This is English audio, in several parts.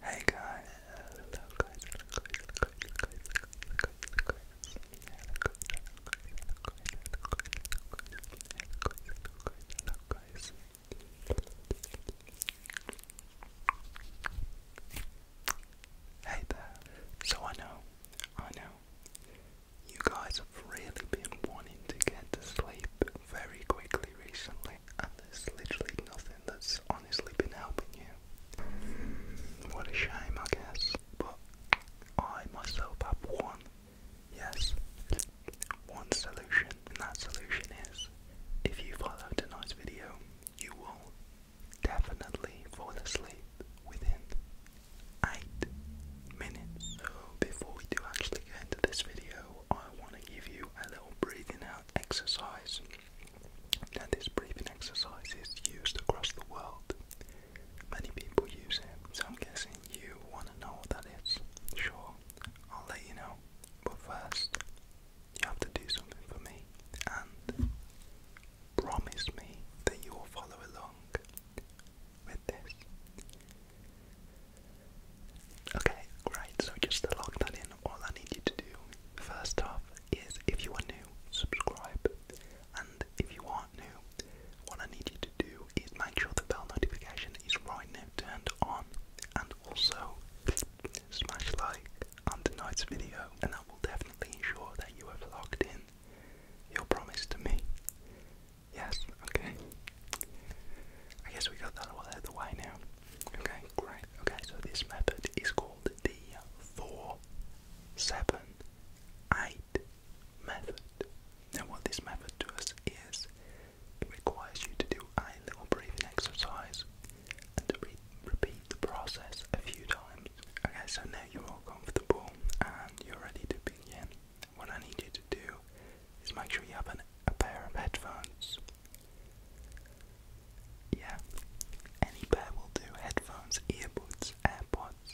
Hey guys, Hey there. So I know, I know, you guys have really been wanting to get to sleep very quickly recently, and there's literally nothing that's honestly been helping you. What a shame, I guess. But I myself have one, yes, one solution, and that solution is if you follow tonight's video, you will definitely fall asleep within eight minutes. So before we do actually get into this video, I want to give you a little breathing out exercise. Now this breathing exercise is used across the world. Many people use it, so I'm guessing you want to know what that is. Sure, I'll let you know. But first, you have to do something for me, and Promise me that you will follow along with this. Okay, right, so just to lock that in, all I need you to do first off is if you are new, subscribe. And if you aren't new, what I need you to do is make sure the bell notification is right now turned on and also smash like on tonight's video and that will definitely ensure that you are logged in you your promise to me? Yes, okay. I guess we got that all out of the way now. Okay, great. Okay, so this method is called the 4 method. Now, what this method does is requires you to do a little breathing exercise and to repeat the process a few times. Okay, so now you're all comfortable and you're ready to begin, what I need you to do is make sure you have an, a pair of headphones. Yeah, any pair will do headphones, earbuds, AirPods,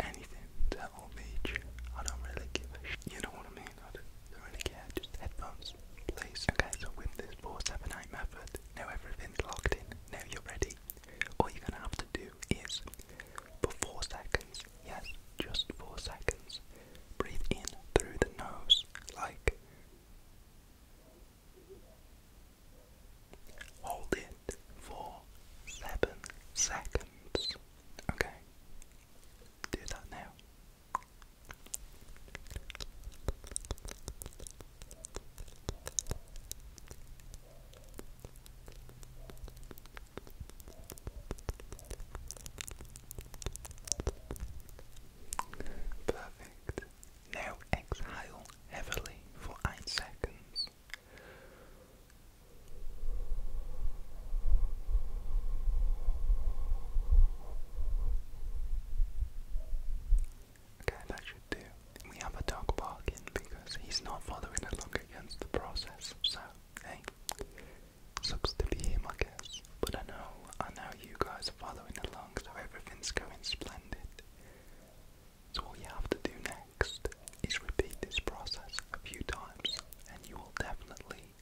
anything that will reach. I don't really give a sh. You know what I mean? I don't, don't really care. Just headphones, please. Okay, so with this 478 method, now everything's locked in. Now you're ready. All you're gonna have to do is for four seconds, yes, just four seconds, breathe in through the nose, like hold it for seven seconds. Okay, do that now. Perfect. Now exhale heavily for eight seconds. Okay, that should do we have a dog bargain because he's not following along against the process. So, hey, sucks to be him, I guess. But I know, I know you guys are following along, so everything's going splendid. So all you have to do next is repeat this process a few times, and you will definitely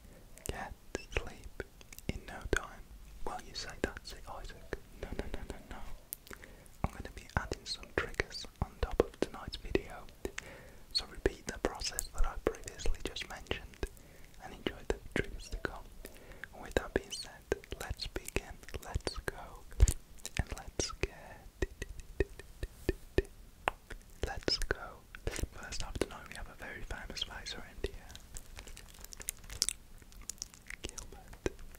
get sleep in no time. Well, you say that's it, Isaac. No, no, no, no, no. I'm going to be adding some triggers on top of tonight's video, so repeat the process that I previously just mentioned and enjoy the triggers to come. With that being said, let's begin, let's go, and let's get. Let's go. First off, tonight we have a very famous Viceroy in here.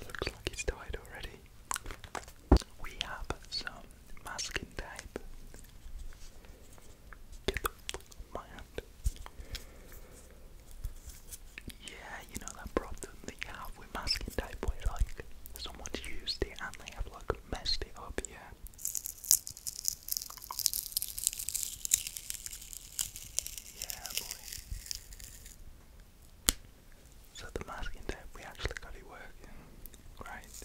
Looks like it's died already. We have some masking tape. Get the my hand. Yeah, you know that problem that with masking tape where like someone's used it and they have like messed it up, yeah. Yeah boy. So the masking tape we actually got it working. Great.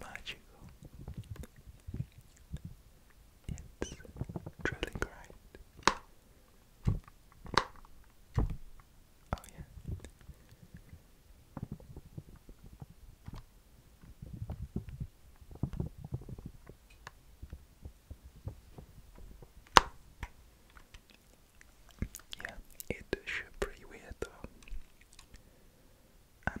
Magical. It's drilling right. Oh yeah. Yeah, it should pretty weird though. And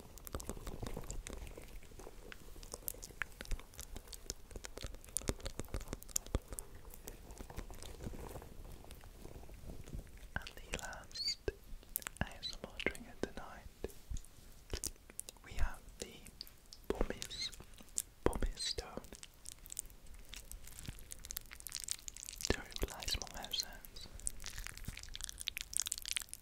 And the last ASMR trigger tonight, we have the Pommies, Pommies Stone. To replace my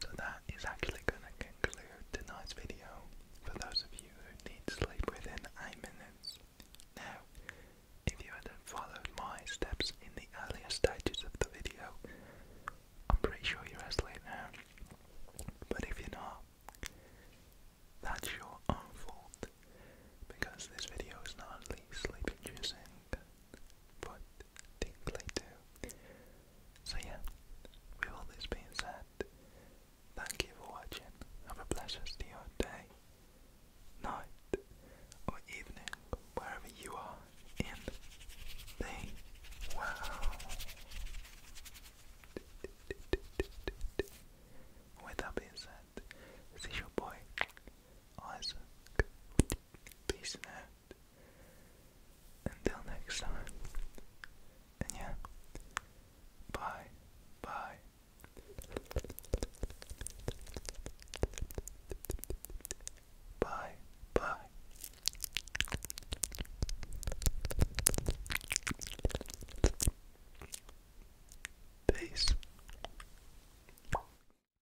So that is actually going to conclude tonight's video for those of you who need sleep within 8 minutes. Now, if you had followed my steps in the earlier stages of the video, I'm pretty sure you're asleep now. But if you're not, that's your own fault because this video is not only sleep inducing what things do. So yeah, with all this being said, thank you for watching. Have a blessed day, night, or evening, wherever you are in the world. With that being said, this is boy Isaac Peace and out. Until next time. And yeah. Bye. Bye. Bye. Bye. Peace.